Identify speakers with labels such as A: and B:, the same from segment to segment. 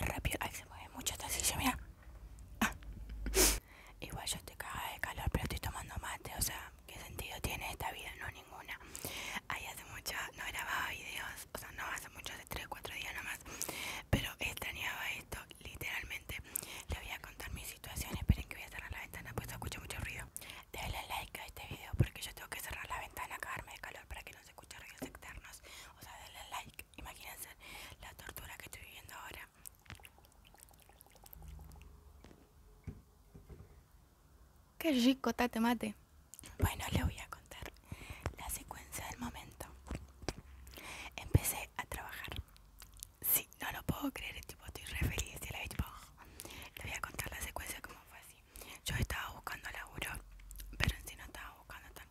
A: rápido. Ay, se mueve mucho esta silla, mira. Ah. Igual yo estoy cagada de calor, pero estoy tomando mate. O sea, ¿qué sentido tiene esta vida? No, ninguna. Ahí hace mucho no grababa videos. O sea, no hace mucho, hace 3, 4 días nomás. Pero extrañaba esto, literalmente. le voy a contar mi situación. Esperen que voy a cerrar la ventana, pues escucho mucho ruido. Denle like a este video porque yo tengo que cerrar la ventana, cagarme de calor para que no escuchar videos externos. O sea, denle like. Imagínense la tortura que estoy viviendo ahora.
B: Qué rico, tate mate. Bueno, le voy a contar
A: la secuencia del momento. Empecé a trabajar. Sí, no lo puedo creer, tipo, estoy re feliz de la voy a contar la secuencia como fue así yo estaba buscando laburo, pero en sí no estaba buscando tan.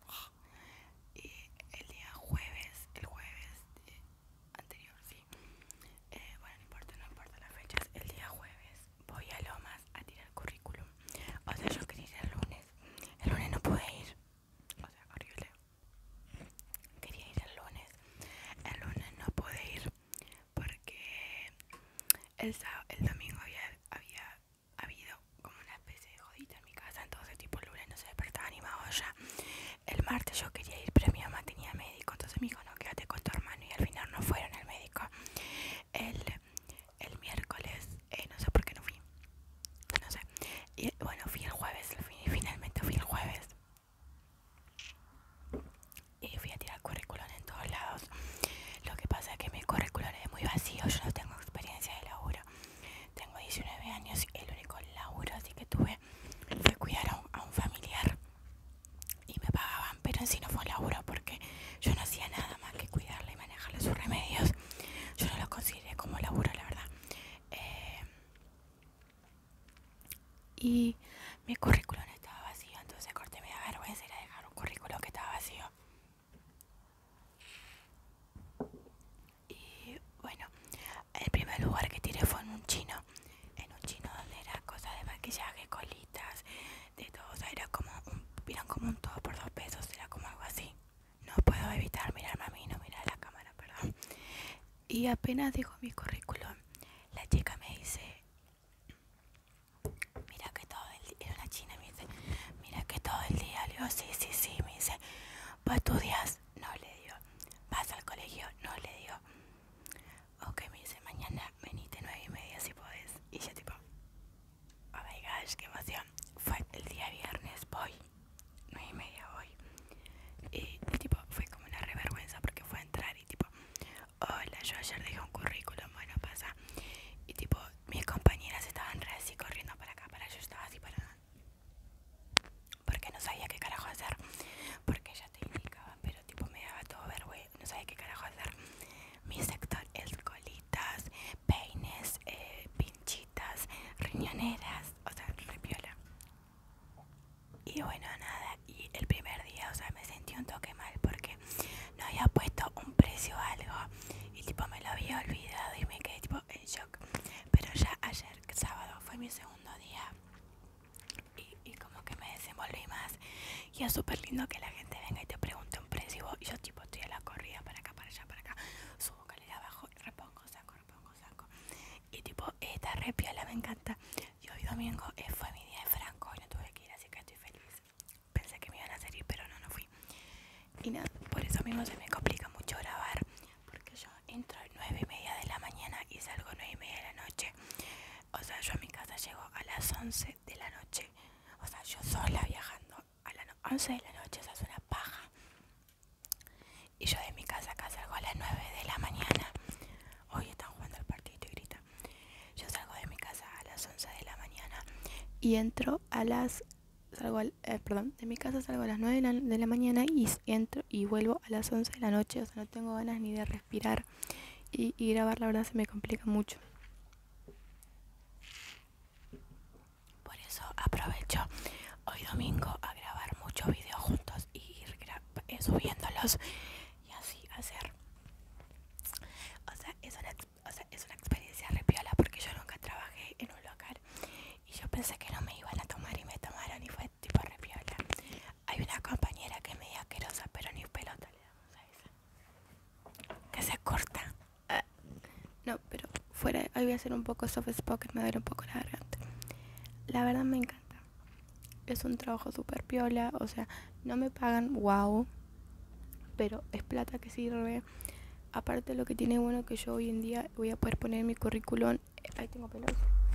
A: Y el día jueves, el jueves eh, anterior, sí. Eh, bueno, no importa, no importa las fechas. El día jueves voy a Lomas a tirar currículum. O sea, yo quería ir el lunes. El lunes no pude ir. O sea, horrible. Quería ir el lunes. El lunes no pude ir porque el, el domingo había ha habido como una especie de jodita en mi casa, entonces tipo el lunes no se despertaba animado ya. El martes yo quería ir, pero mi mamá tenía médico, entonces me dijo, no, quédate con tu hermano y al final no fueron al médico. El, miércoles, eh, no sé por qué no fui. No sé. Y bueno, fui el jueves, finalmente fui el jueves. Y fui a tirar currículum en todos lados lo que pasa es que mi currículum es muy vacío, yo no tengo experiencia de laburo. Tengo 19 años y el único laburo así que tuve fue cuidar a un, familiar y me pagaban, pero en sí no fue laburo porque yo no hacía nada más que cuidarle y manejarle sus remedios. Yo no lo consideré como laburo, la verdad. Eh, y mi currículum estaba vacío, entonces corté, me da vergüenza ir a dejar un currículum que estaba vacío. Y bueno, el primer lugar que tiré fue en un chino. En un chino donde era cosas de maquillaje, colitas, de todo. O sea, era como un, como un todo por dos pesos, era como algo así. No puedo evitar mirarme a mí, no mirar a la cámara, perdón. Y apenas digo mi currículum, la chica me dice, mira que todo el día, era una china, me dice, mira que todo el día, le digo, sí, sí, sí, me dice, a estudiar No, le digo, ¿vas al colegio? No, le digo, ok, me dice, mañana venite nueve y media si podés, y yo tipo, oh my gosh, qué emoción, fue el día viernes, voy, nueve y media voy, y, tipo, fue como una revergüenza porque fue a entrar y tipo, hola, yo ayer dejé un currículum, bueno, pasa, y tipo, mis compañeras estaban así corriendo para acá, para yo estaba así para porque no sabía qué carajo hacer, porque ya te indicaba, pero tipo me daba todo vergüenza, no sabía qué carajo hacer. Mi sector es colitas, peines, eh, pinchitas, riñoneras, o sea, repiola. Y bueno, nada, y el primer día, o sea, me sentí un toque mal porque no había puesto un precio o algo y tipo me lo había olvidado y me quedé tipo en shock. Pero ya ayer, sábado, fue mi segundo día y, como que me desenvolví más y es súper lindo que la gente venga y te pregunte un precio y, yo tipo estoy a la corrida para acá, para allá, para acá, subo calera, abajo, repongo, saco, repongo, saco. Y tipo, esta repiola me encanta. Y hoy domingo eh, fue mi día de Franco y no tuve que ir, así que estoy feliz pensé que me iban a salir, pero no, no fui. Y nada, por eso mismo se me complica mucho grabar, porque yo entro a 9 y media de la mañana y salgo 9 y media de la noche. O sea, yo a mi casa llego a las 11 de la noche. O sea, yo sola viajando a las 11 de la noche, o es una paja. Y yo de mi casa acá salgo a las 9 de la mañana. Hoy están jugando el partido y grita. Yo salgo de mi casa a las 11 de la mañana
B: y entro a las salgo eh, perdón, de mi casa salgo a las 9 de la, mañana y entro y vuelvo a las 11 de la noche, o sea, no tengo ganas ni de respirar y, grabar la verdad se me
A: complica mucho. Por eso aprovecho hoy domingo a grabar muchos videos juntos y ir eh, subiéndolos y así hacer. O sea, es una o sea, es una experiencia repiola porque yo nunca trabajé en un local y yo pensé que no me iban a tomar y me tomaron y fue tipo repiola. Hay una compañera que es medio asquerosa, pero ni pelota le damos a esa. Que se corta. Ah. no,
B: pero fuera, hoy voy a hacer un poco soft spoken, me duele un poco la garganta. La verdad me encanta. Es un trabajo super piola, o sea, no me pagan wow, pero es plata que sirve. Aparte lo que tiene bueno que yo hoy en día voy a poder poner mi currículum, eh, ahí tengo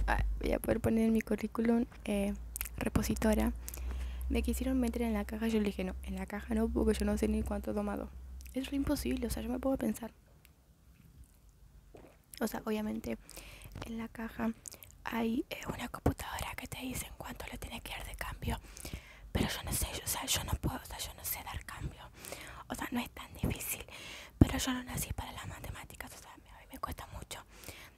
B: ah, voy a poder poner mi currículum eh, repositora. Me quisieron meter en la caja, yo le dije no, en la caja no, porque yo no sé ni cuánto he tomado. Es imposible, o sea, yo me puedo pensar. O sea,
A: obviamente en la caja hay eh, una computadora que te dice en cuánto le tiene que dar de cambio. Pero yo no sé, yo, o sea, yo no puedo, o sea, yo no sé dar cambio. O sea, no es tan difícil. Pero yo no nací para las matemáticas, o sea, a mí me cuesta mucho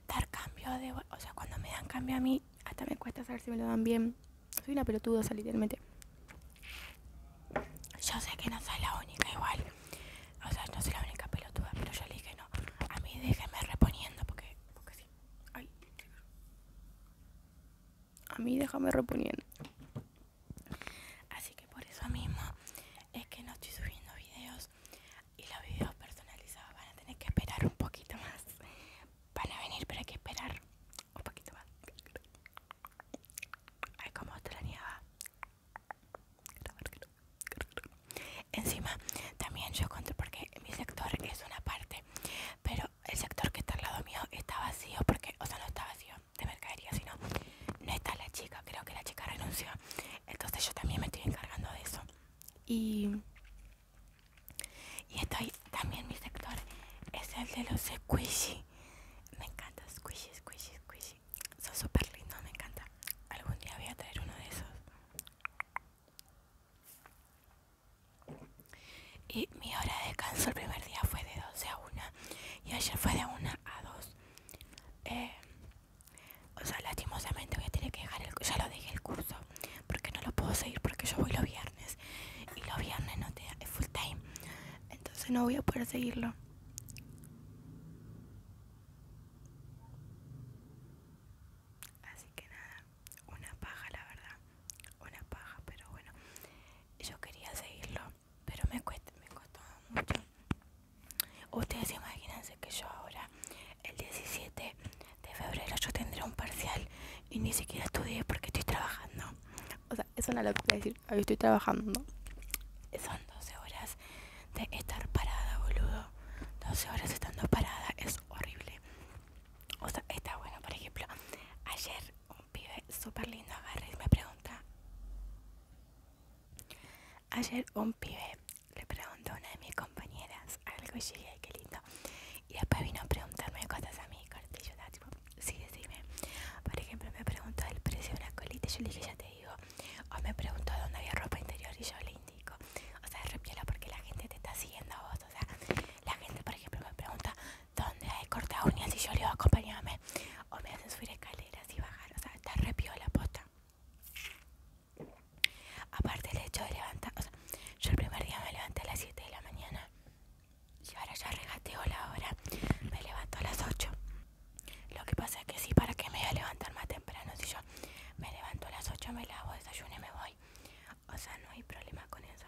A: dar cambio. o sea, cuando me dan cambio a mí, hasta me cuesta saber si me lo dan bien. Soy una pelotuda, o sea, literalmente. Yo sé que no soy la única igual. O sea, no soy la única pelotuda, pero yo le dije no. A mí déjeme
B: reponiendo porque, porque sí. Ay a mí déjame reponiendo.
A: Así que por eso mismo es que no estoy subiendo videos y los videos personalizados van a tener que esperar un poquito más. Van a venir, pero hay que esperar un poquito más. Ay, como extrañaba. Encima, también yo conté porque mi sector es una parte, pero el sector que está al lado mío está vacío porque, o sea, no está vacío de mercadería, sino no está la chica, creo que la chica renunció. Entonces yo también me estoy encargando de eso. Y, y estoy también mi sector es el de los squishy. Me encanta squishy, squishy, squishy. Son súper lindos, me encanta. Algún día voy a traer uno de esos. Y mi hora de descanso el primer día fue de 12 a 1 y ayer fue de 1 a 2. Eh, o sea, lastimosamente voy a tener que dejar el ya lo dejé el curso porque no lo puedo seguir porque yo voy los viernes y los viernes no te da, es full time. Entonces no voy a poder seguirlo. Así que nada una paja la verdad una paja pero bueno yo quería seguirlo pero me, cuesta, me costó mucho ustedes imagínense que yo ahora el 17 de febrero yo tendré un parcial y ni siquiera estudié porque estoy trabajando
B: o sea es locura decir hoy estoy trabajando son 12 horas
A: de estar parada boludo 12 horas estando parada es horrible o sea, está bueno, por ejemplo, ayer un pibe súper lindo agarré y me pregunta. Ayer un pibe le preguntó a una de mis compañeras algo y dije, qué lindo. Y después vino a preguntarme cosas a mí, corte. Yo tipo, sí, decime. Por ejemplo, me preguntó el precio de una colita y yo le dije, ya te digo. O me preguntó dónde había ropa interior y yo le indico. O sea, repiola porque la gente te está siguiendo a vos. O sea, la gente, por ejemplo, me pregunta dónde hay corta uñas y yo le digo acompáñame o me hacen subir escaleras y bajar. O sea, está repido la posta. Aparte el hecho de levantar, o sea, yo el primer día me levanté a las 7 de la mañana y ahora ya regateo la hora, me levanto a las 8. Lo que pasa es que sí, para que me voy a levantar más temprano, si yo me levanto a las 8, me lavo, desayuno y me voy o sea no hay problema con eso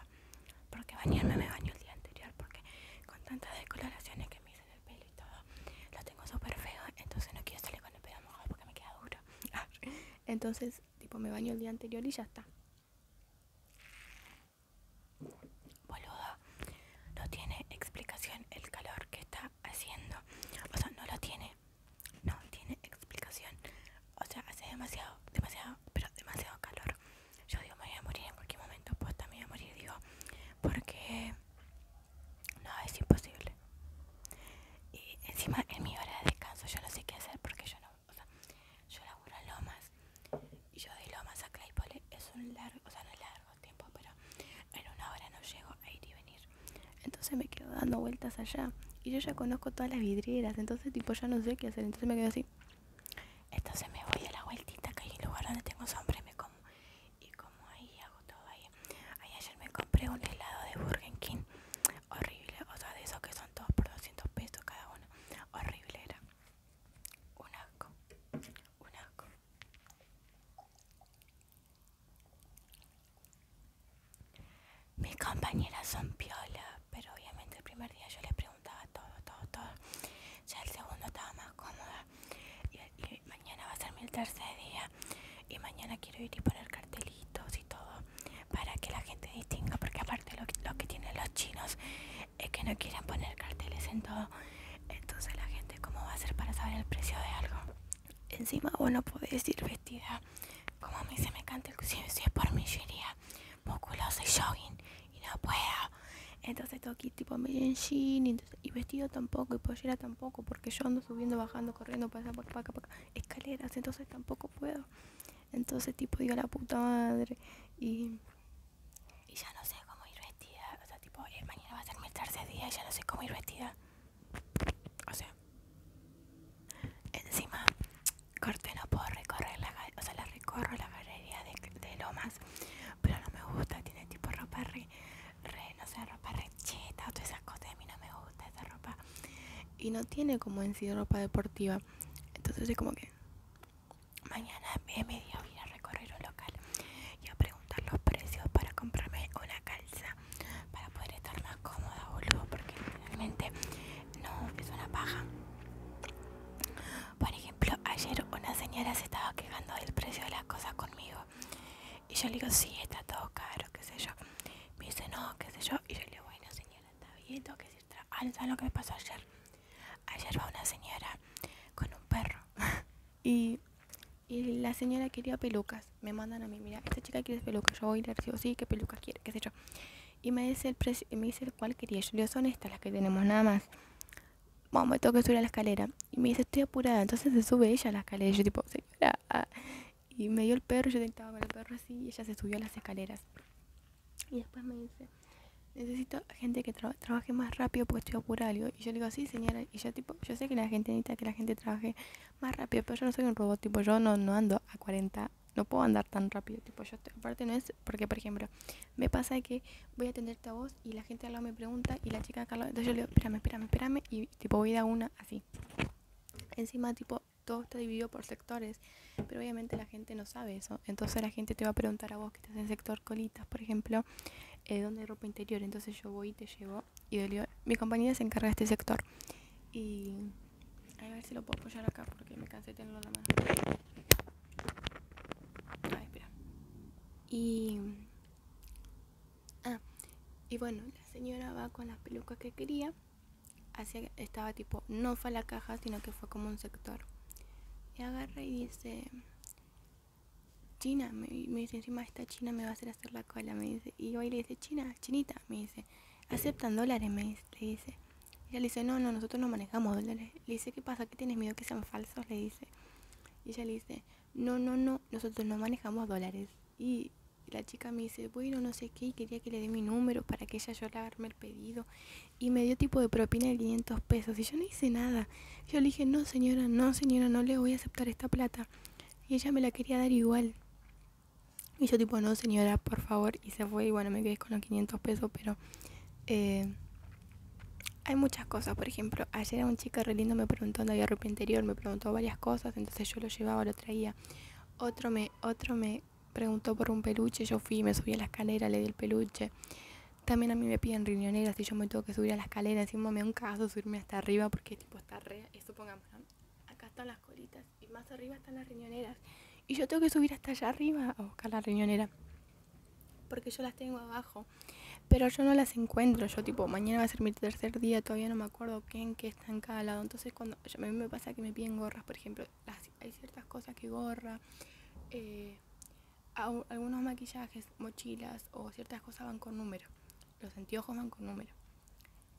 A: porque bañarme me baño el día anterior porque con tantas descoloraciones que me hice en el pelo y todo lo tengo súper feo entonces no quiero salir con el pelo mojado porque me queda duro entonces tipo me baño el día anterior y ya está boludo no tiene explicación el calor que está haciendo o sea no lo tiene no tiene explicación o sea, hace demasiado, demasiado, pero demasiado calor. Yo digo, me voy a morir en cualquier momento, pues también voy a morir, digo, porque no, es imposible. Y encima en mi hora de descanso yo no sé qué hacer porque yo no, o sea, yo laburo en Lomas y yo de Lomas a Claypole es un largo, o sea, no es largo tiempo, pero en una hora no llego a ir y venir.
B: Entonces me quedo dando vueltas allá y yo ya conozco todas las vidrieras, entonces tipo ya no sé qué hacer, entonces
A: me quedo así. Entonces me voy a la vueltita que hay un lugar donde tengo sombra y me como. Y como ahí hago todo ahí. ayer me compré un helado de Burger King. Horrible, o sea, de esos que son todos por 200 pesos cada uno. Horrible era. Un asco. Un asco. Mis compañeras son piola, pero obviamente el primer día yo les preguntaba todo, todo, todo. Ya el segundo estaba más cómoda. Y, mañana va a ser mi tercer día. Y mañana quiero ir y poner cartelitos y todo para que la gente distinga. Porque aparte lo, que tienen los chinos es que no quieren poner carteles en todo. Entonces la gente cómo va a ser para saber el precio de algo. Encima vos no podés ir vestida como a mí se me canta el si, es por millería y jogging y no puedo. Entonces estoy aquí tipo medio en y, vestido tampoco y pollera tampoco porque yo ando subiendo, bajando, corriendo,
B: pasando por acá, acá, escaleras, entonces tampoco puedo. Entonces tipo digo la puta madre y, ya no sé cómo
A: ir vestida. O sea, tipo eh, mañana va a ser mi tercer día y ya no sé cómo ir vestida. O sea, encima corte, no puedo recorrer la o sea, la recorro la galería de, Lomas, pero no me gusta, tiene tipo ropa re, re no sé, ropa todas esas cosas, a mí no me gusta esa ropa.
B: Y no tiene como en sí ropa deportiva,
A: entonces es como que mañana me media voy a recorrer un local y a preguntar los precios para comprarme una calza para poder estar cómoda, boludo, porque realmente no, es una paja. Por ejemplo, ayer una señora se estaba quejando del precio de las cosas conmigo. Y yo le digo, sí, está todo caro, qué sé yo. Me dice, no, qué sé yo. Y yo le digo, bueno, señora, está bien, tengo que Ah, alza lo que me pasó ayer. Ayer va una señora
B: con un perro. y, y la señora quería pelucas. Me mandan a mí, mira, esta chica quiere pelucas. Yo voy y le digo, sí, qué pelucas quiere, qué sé yo. Y me dice el, cual me dice cuál quería. Yo le digo, son estas las que tenemos, nada más. Bueno, me tengo que subir a la escalera. Y me dice, estoy apurada. Entonces se sube ella a la escalera. Y yo tipo, señora. Y me dio el perro, yo intentaba con el perro así y ella se subió a las escaleras. Y después me dice, necesito gente que trabaje más rápido porque estoy apurada. Y yo le digo, sí, señora. Y yo tipo, yo sé que la gente necesita que la gente trabaje más rápido, pero yo no soy un robot, tipo, yo no, no ando a 40 no puedo andar tan rápido, tipo yo aparte no es porque por ejemplo, me pasa que voy a atenderte a vos y la gente al lado me pregunta y la chica acá entonces yo le digo, espérame, espérame, espérame y tipo voy a dar una así. Encima tipo todo está dividido por sectores, pero obviamente la gente no sabe eso. Entonces la gente te va a preguntar a vos que estás en el sector colitas, por ejemplo, dónde eh, donde ropa interior. Entonces yo voy y te llevo y mi compañía se encarga de este sector. Y a ver si lo puedo apoyar acá porque me cansé de tenerlo la mano. espera. Y. Ah, y bueno, la señora va con las pelucas que quería. Hacia, estaba tipo, no fue la caja, sino que fue como un sector. Y agarra y dice. China, me, dice encima esta china me va a hacer hacer la cola, me dice. Y hoy le dice, China, chinita, me dice, ¿aceptan dólares? Me dice, le dice. ella le dice, no, no, nosotros no manejamos dólares. Le dice, ¿qué pasa? que tienes miedo que sean falsos? Le dice. Y ella le dice, no, no, no, nosotros no manejamos dólares. Y la chica me dice, bueno, no sé qué, y quería que le dé mi número para que ella yo le haberme el pedido. Y me dio tipo de propina de 500 pesos. Y yo no hice nada. Yo le dije, no, señora, no, señora, no le voy a aceptar esta plata. Y ella me la quería dar igual. Y yo tipo, no señora, por favor. Y se fue y bueno, me quedé con los 500 pesos, pero... Eh, hay muchas cosas, por ejemplo, ayer un chico re lindo me preguntó donde había ropa interior, me preguntó varias cosas, entonces yo lo llevaba, lo traía. Otro me, otro me preguntó por un peluche, yo fui, me subí a la escalera, le di el peluche. También a mí me piden riñoneras y yo me tengo que subir a la escalera, encima me un caso subirme hasta arriba porque tipo está re, eh, supongamos, acá están las colitas y más arriba están las riñoneras. Y yo tengo que subir hasta allá arriba a buscar la riñonera. Porque yo las tengo abajo. Pero yo no las encuentro. Yo tipo, mañana va a ser mi tercer día, todavía no me acuerdo qué en qué está en cada lado. Entonces cuando a mí me pasa que me piden gorras, por ejemplo, hay ciertas cosas que gorra. Eh, algunos maquillajes, mochilas o ciertas cosas van con número. Los anteojos van con número.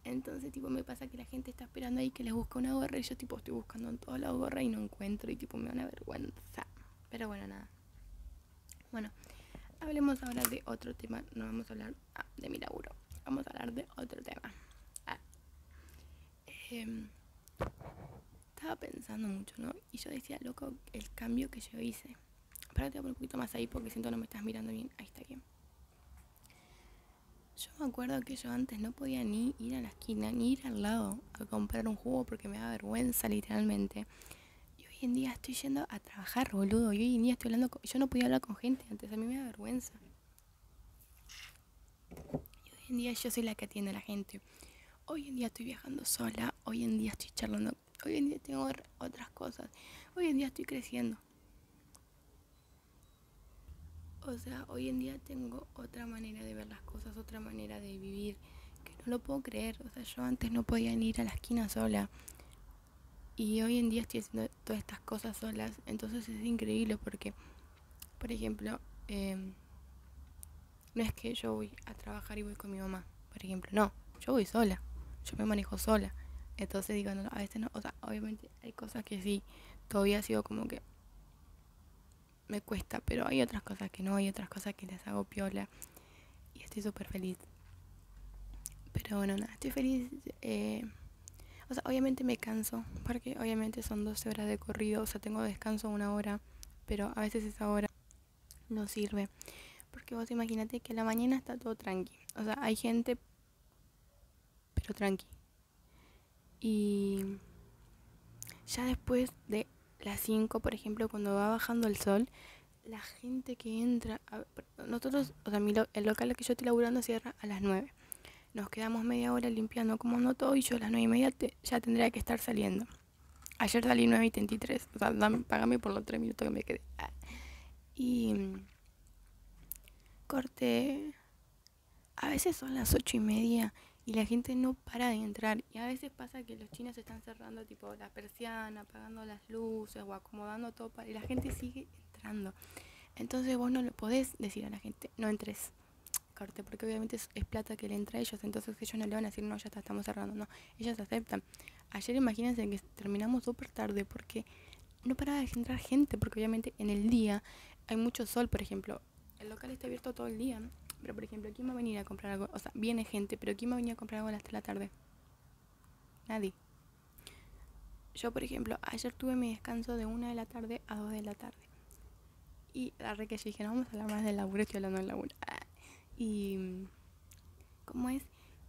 B: Entonces, tipo, me pasa que la gente está esperando ahí que les busque una gorra y yo, tipo, estoy buscando en toda la gorra y no encuentro y, tipo, me da una vergüenza. Pero bueno, nada. Bueno, hablemos ahora de otro tema. No vamos a hablar ah, de mi laburo. Vamos a hablar de otro tema. Em, estaba pensando mucho, ¿no? Y yo decía, loco, el cambio que yo hice. Espérate por un poquito más ahí porque siento no me estás mirando bien. Ahí está bien. Yo me acuerdo que yo antes no podía ni ir a la esquina, ni ir al lado a comprar un jugo porque me da vergüenza literalmente. Y hoy en día estoy yendo a trabajar, boludo. Y hoy en día estoy hablando Yo no podía hablar con gente antes, a mí me da vergüenza. Y hoy en día yo soy la que atiende a la gente. Hoy en día estoy viajando sola, hoy en día estoy charlando, hoy en día tengo otras cosas, hoy en día estoy creciendo. O sea, hoy en día tengo otra manera de ver las cosas, otra manera de vivir, que no lo puedo creer. O sea, yo antes no podía ir a la esquina sola. Y hoy en día estoy haciendo todas estas cosas solas. Entonces es increíble porque, por ejemplo, em, no es que yo voy a trabajar y voy con mi mamá, por ejemplo. No, yo voy sola. Yo me manejo sola. Entonces digo, a veces no, o sea, obviamente hay cosas que sí, todavía ha sido como que me cuesta, pero hay otras cosas que no, hay otras cosas que les hago piola y estoy súper feliz. Pero bueno, nada, estoy feliz. Eh, o sea, obviamente me canso, porque obviamente son 12 horas de corrido, o sea, tengo descanso una hora, pero a veces esa hora no sirve. Porque vos imagínate que la mañana está todo tranqui. O sea, hay gente, pero tranqui. Y ya después de las 5, por ejemplo, cuando va bajando el sol, la gente que entra, nosotros, o sea, mi el local que yo estoy laburando cierra a las 9. Nos quedamos media hora limpiando, como no todo, y yo a las 9 y media ya tendría que estar saliendo. Ayer salí 9 y 33, o sea, dame, pagame por los 3 minutos que me quedé. Ah. Y corté a veces son las ocho y media y la gente no para de entrar. Y a veces pasa que los chinos están cerrando tipo la persiana, apagando las luces o acomodando todo para... y la gente sigue entrando. Entonces vos no le podés decir a la gente, no entres, corte, porque obviamente es, plata que le entra a ellos, entonces ellos no le van a decir, no, ya está, estamos cerrando, no, ellas aceptan. Ayer imagínense que terminamos súper tarde porque no para de entrar gente, porque obviamente en el día hay mucho sol, por ejemplo. El local está abierto todo el día, pero por ejemplo, ¿quién va a venir a comprar algo? O sea, viene gente, pero ¿quién va a venir a comprar algo hasta la tarde? Nadie. Yo, por ejemplo, ayer tuve mi descanso de una de la tarde a dos de la tarde. Y la re que yo dije, no vamos a hablar más del laburo, estoy hablando del laburo. Y. ¿Cómo es?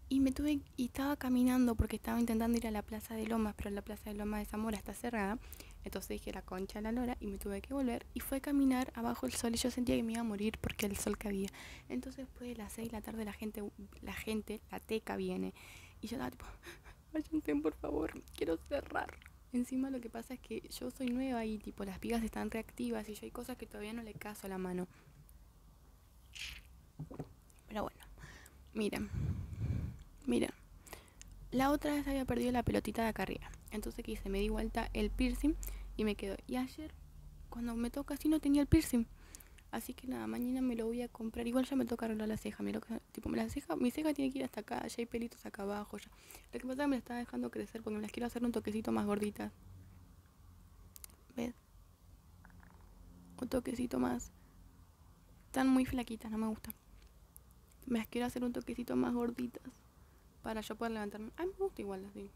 B: Y me tuve. Y estaba caminando porque estaba intentando ir a la Plaza de Lomas, pero la esa Loma de Zamora está cerrada. Entonces dije la concha la lora y me tuve que volver. Y fue a caminar abajo el sol y yo sentía que me iba a morir porque el sol que había. Entonces después de las 6 de la tarde la gente, la gente, la teca viene. Y yo estaba tipo, ah, por favor, quiero cerrar. Encima lo que pasa es que yo soy nueva y tipo las vigas están reactivas y yo hay cosas que todavía no le caso a la mano. Pero bueno, miren, miren. La otra vez había perdido la pelotita de acá arriba. Entonces quise, me di vuelta el piercing y me quedo, Y ayer, cuando me toca así, no tenía el piercing. Así que nada, mañana me lo voy a comprar. Igual ya me tocaron arreglar la ceja. Me lo, mi ceja tiene que ir hasta acá. Ya hay pelitos acá abajo. Ya. Lo que pasa me la estaba dejando crecer porque me las quiero hacer un toquecito más gorditas. ¿Ves? Un toquecito más. Están muy flaquitas, no me gusta Me las quiero hacer un toquecito más gorditas para yo poder levantarme. Ay, me gusta igual así.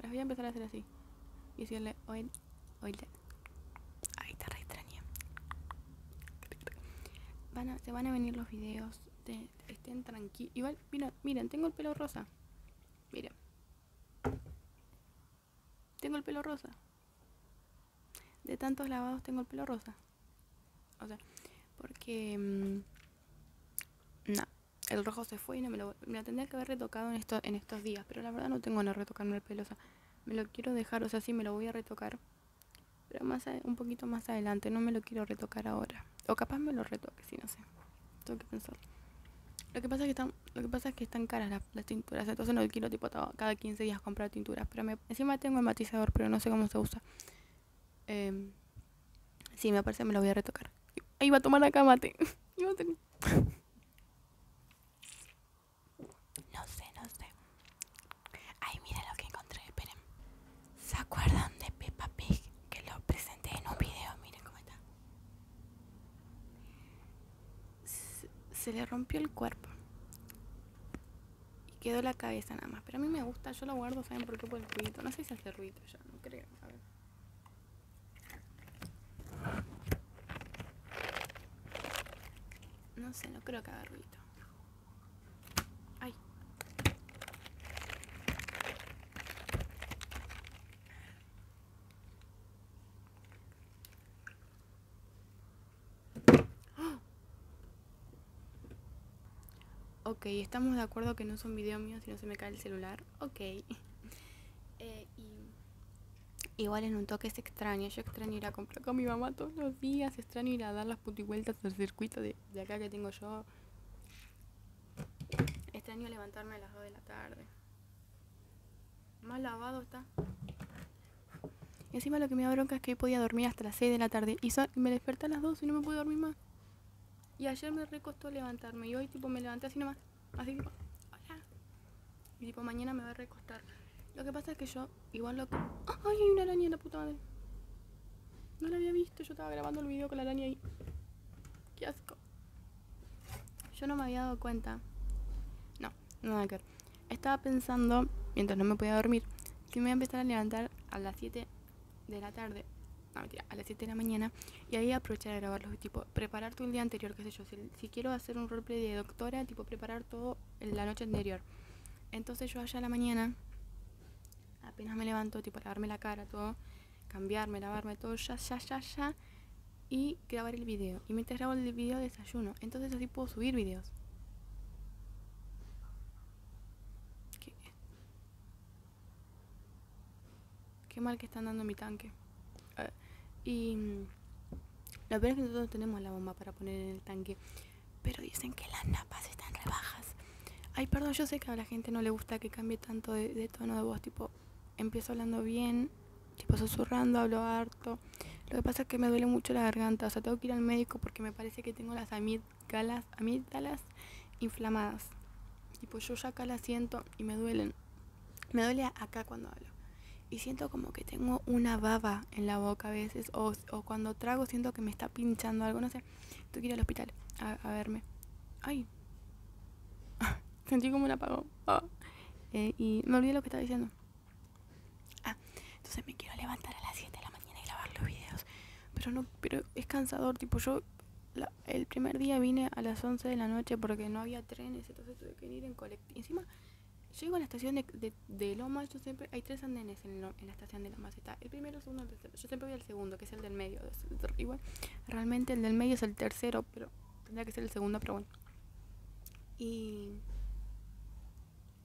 B: Las voy a empezar a hacer así. Y decirle, oye, oye. Ay, te re Van se van a venir los videos. De, estén tranquilos. Igual, miren, tengo el pelo rosa. Miren tengo el pelo rosa. De tantos lavados tengo el pelo rosa. O sea, porque... Mm, el rojo se fue y no me lo... tendría que haber retocado en, en estos días, pero la verdad no tengo ganas retocarme el pelo. me lo quiero dejar, o sea, si me lo voy a retocar. Pero más un poquito más adelante, no me lo quiero retocar ahora. O capaz me lo retoque, si no sé. Tengo que pensar. Lo que pasa que están, lo que pasa es que están caras las las, tinturas. Entonces no quiero tipo cada 15 días comprar tinturas. Pero me, encima tengo el matizador, pero no sé cómo se usa. Em, si, me parece me lo voy a retocar. Ahí va a tomar la cama No
A: sé, no sé. Ay, mira lo que encontré, esperen. ¿Se acuerdan de Peppa Pig? Que lo presenté en un video, miren cómo está
B: se le rompió el cuerpo. Y quedó la cabeza nada más. Pero a mí me gusta, yo lo guardo, ¿saben por qué? Por el ruidito, No sé si hace ruido ya, no creo. A No sé, no creo que haga ruido. Ok, estamos de acuerdo que no son un video mío si no se me cae el celular. Ok. Eh, igual en un toque es extraño Yo extraño ir a comprar con mi mamá todos los días. Extraño ir a dar las vueltas al circuito de, de acá que tengo yo. Extraño levantarme a las 2 de la tarde. Más lavado está. Y encima lo que me da bronca es que hoy podía dormir hasta las 6 de la tarde. Y me desperté a las 2 y no me pude dormir más. Y ayer me recostó levantarme. Y hoy tipo me levanté así nomás. Así tipo, hola. Y tipo mañana me va a recostar. Lo que pasa es que yo igual lo ¡Ay, hay una araña en la puta No la había visto, yo estaba grabando el video con la araña ahí. ¡Qué asco! Yo no me había dado cuenta. No, no que Estaba pensando, mientras no me podía dormir, que me voy a empezar a levantar a las 7 de la tarde. No, mentira, a las 7 de la mañana. Y ahí aprovechar a los Tipo, preparar todo el día anterior, qué sé yo. Si, quiero hacer un roleplay de doctora, tipo, preparar todo en la noche anterior. Entonces yo allá a la mañana, apenas me levanto, tipo, lavarme la cara, todo, cambiarme, lavarme, todo, ya, ya, ya, ya. Y grabar el video. Y mientras grabo el video desayuno. Entonces así puedo subir videos. Qué, mal que están dando mi tanque. Ah, y mm, la verdad es que nosotros tenemos la bomba para poner en el tanque. Pero dicen que las napas están rebajas. Ay, perdón, yo sé que a la gente no le gusta que cambie tanto de tono de voz. Tipo, empiezo hablando bien tipo susurrando, hablo harto. Lo que pasa es que me duele mucho la garganta, o sea, tengo que ir al médico porque me parece que tengo las amígdalas, amígdalas inflamadas. pues yo ya acá las siento y me duelen. Me duele acá cuando hablo. Y siento como que tengo una baba en la boca a veces, o, o cuando trago siento que me está pinchando algo, no sé. Tengo que ir al hospital a, verme. ¡Ay! Sentí como un apagón. Ah. Eh, y me olvidé lo que estaba diciendo.
A: Ah, entonces me quiero levantar a las 7 de
B: la mañana y grabar los videos. Pero no, pero es cansador, tipo yo el primer día vine a las 11 de la noche porque no había trenes, entonces tuve que ir en colectivo. Encima, llego a la estación de, de, Lomas, yo siempre, hay tres andenes en, la estación de Lomas, está el primero, es uno, el tercero. Yo siempre voy al segundo, que es el del medio. realmente el del medio es el tercero, pero tendría que ser el segundo, pero bueno. Y...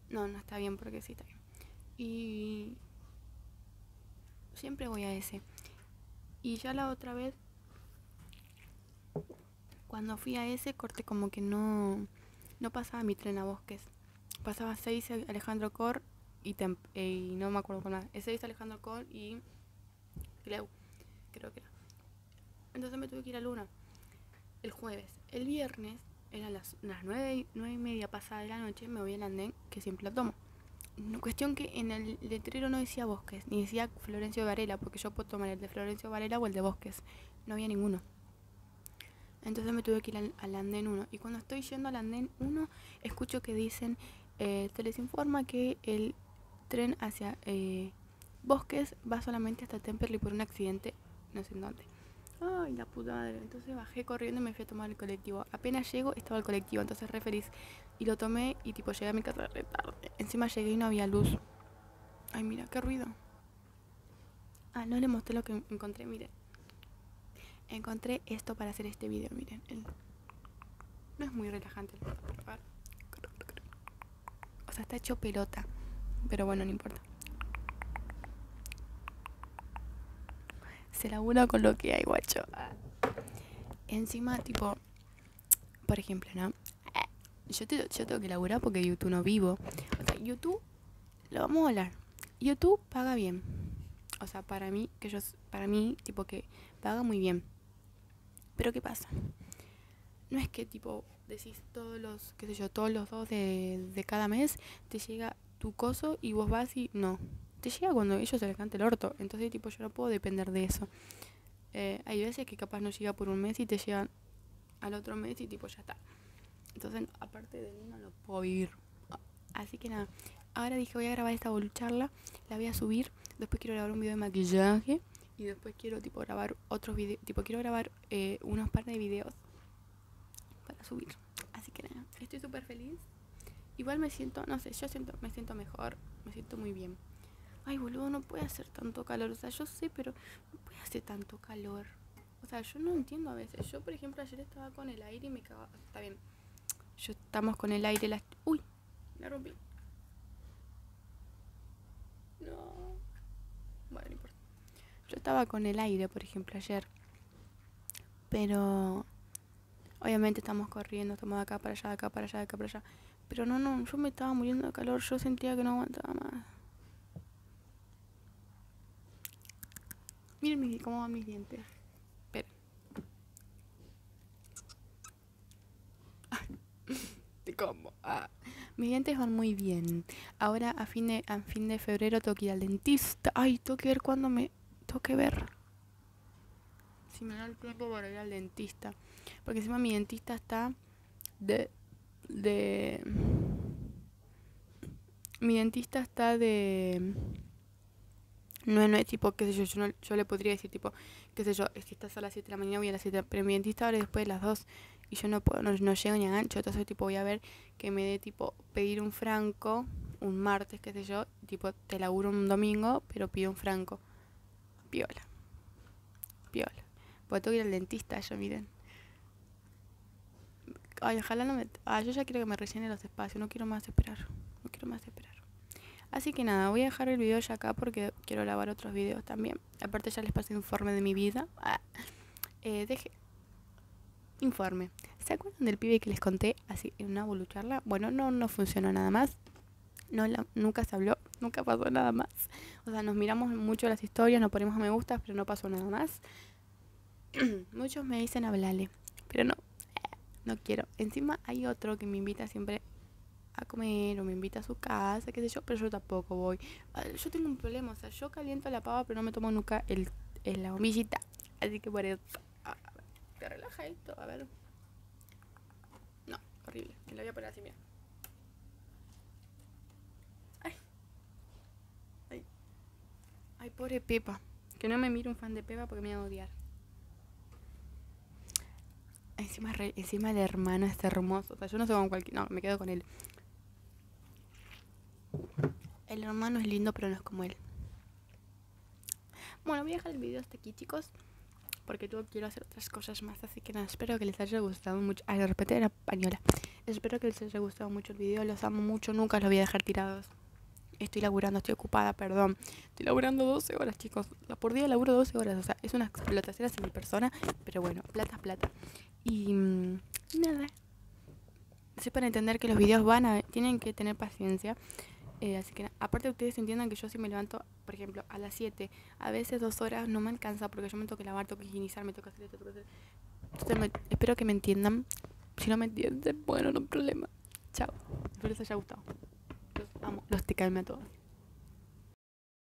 B: No, no está bien porque sí está bien. Y... Siempre voy a ese. Y ya la otra vez, cuando fui a ese, corte como que no, no pasaba mi tren a bosques. Pasaba 6 Alejandro Cor y, eh, y, no me acuerdo con nada. 6 Alejandro Cor y creo que era. Entonces me tuve que ir a Luna el jueves. El viernes, eran las, las 9, y media pasada de la noche, me voy al andén, que siempre la tomo. Cuestión que en el letrero no decía Bosques, ni decía Florencio Varela, porque yo puedo tomar el de Florencio Varela o el de Bosques. No había ninguno. Entonces me tuve que ir al, andén 1. Y cuando estoy yendo al andén 1, escucho que dicen, eh, se les informa que el tren hacia eh, Bosques va solamente hasta Temperley por un accidente, no sé en dónde. Ay, la puta madre. Entonces bajé corriendo y me fui a tomar el colectivo. Apenas llego, estaba el colectivo, entonces referís Y lo tomé y tipo llegué a mi casa tarde. Encima llegué y no había luz. Ay, mira, qué ruido. Ah, no le mostré lo que encontré, miren. Encontré esto para hacer este video, miren. No es muy relajante, o sea, está hecho pelota. Pero bueno, no importa. Se labura con lo que hay, guacho. Encima, tipo, por ejemplo, ¿no? Yo, te, yo tengo que laburar porque YouTube no vivo. O sea, YouTube, lo vamos a hablar. YouTube paga bien. O sea, para mí, que yo, para mí, tipo que paga muy bien. Pero ¿qué pasa? no es que tipo decís todos los, qué sé yo, todos los dos de, cada mes, te llega tu coso y vos vas y no. Te llega cuando ellos se les cante el orto. Entonces, tipo, yo no puedo depender de eso. Eh, hay veces que capaz no llega por un mes y te llegan al otro mes y tipo ya está. Entonces, aparte de mí, no lo puedo vivir. Así que nada, ahora dije voy a grabar esta bolucharla, la voy a subir, después quiero grabar un video de maquillaje y después quiero tipo grabar otros videos, tipo quiero grabar eh, unos par de videos para subir. Así que nada, estoy súper feliz. Igual me siento, no sé, yo siento, me siento mejor, me siento muy bien. Ay, boludo, no puede hacer tanto calor. O sea, yo sé, pero no puede hacer tanto calor. O sea, yo no entiendo a veces. Yo, por ejemplo, ayer estaba con el aire y me cagaba. Está bien. Yo estamos con el aire las... Uy, la rompí. No. Bueno, Yo estaba con el aire, por ejemplo, ayer. Pero obviamente estamos corriendo, estamos de acá para allá, de acá para allá, de acá para allá. Pero no, no, yo me estaba muriendo de calor, yo sentía que no aguantaba más. Miren cómo van mis dientes. Pero. ¿Cómo? Ah. Mis dientes van muy bien. Ahora a fin, de, a fin de febrero tengo que ir al dentista. Ay, tengo que ver cuándo me... Tengo que ver. Si me da el tiempo para ir al dentista. Porque encima mi dentista está de... de... Mi dentista está de... No, no es tipo, qué sé yo, yo, no, yo le podría decir tipo, qué sé yo, que estás a las 7 de la mañana voy a las 7, pero mi dentista ahora después de las 2, y yo no puedo, no, llego ni a gancho, entonces tipo voy a ver que me dé tipo pedir un franco un martes, qué sé yo, tipo te laburo un domingo, pero pido un franco. Piola. Piola. a tengo que ir al dentista, yo miren. Ay, ojalá no me... ay yo ya quiero que me rellene los espacios, no quiero más esperar. No quiero más esperar. Así que nada, voy a dejar el video ya acá porque quiero lavar otros videos también. Aparte ya les pasé informe de mi vida. Ah, eh, deje. Informe. ¿Se acuerdan del pibe que les conté así en una bolucharla? Bueno, no, no funcionó nada más. No, nunca se habló, nunca pasó nada más. O sea, nos miramos mucho las historias, nos ponemos me gustas, pero no pasó nada más. Muchos me dicen hablarle, pero no, eh, no quiero. Encima hay otro que me invita siempre a comer o me invita a su casa, qué sé yo, pero yo tampoco voy. Ah, yo tengo un problema, o sea, yo caliento la pava, pero no me tomo nunca el, en la bombillita. Así que por eso, ah, a esto, a ver. No, horrible, me lo voy a poner así, mira. Ay, ay, ay, pobre Pepa. Que no me miro un fan de Pepa porque me va a odiar. Encima, encima el hermano es hermoso. O sea, yo no sé con cualquier. No, me quedo con él. El hermano es lindo, pero no es como él. Bueno, voy a dejar el video hasta aquí, chicos. Porque quiero hacer otras cosas más. Así que nada, espero que les haya gustado mucho. Ay, de repente era española. Espero que les haya gustado mucho el video. Los amo mucho. Nunca los voy a dejar tirados. Estoy laburando, estoy ocupada, perdón. Estoy laburando 12 horas, chicos. Por día laburo 12 horas. O sea, es una explotación a mi persona pero bueno, plata es plata. Y mm, nada nada. para entender que los videos van a. tienen que tener paciencia. Eh, así que aparte ustedes entiendan que yo si me levanto, por ejemplo, a las 7, a veces dos horas no me alcanza porque yo me tengo que lavar, tengo que higienizar, me toca hacer esto, hacer... espero que me entiendan. Si no me entienden, bueno, no hay problema. Chao. Espero les haya gustado. Los amo, los te calme a todos.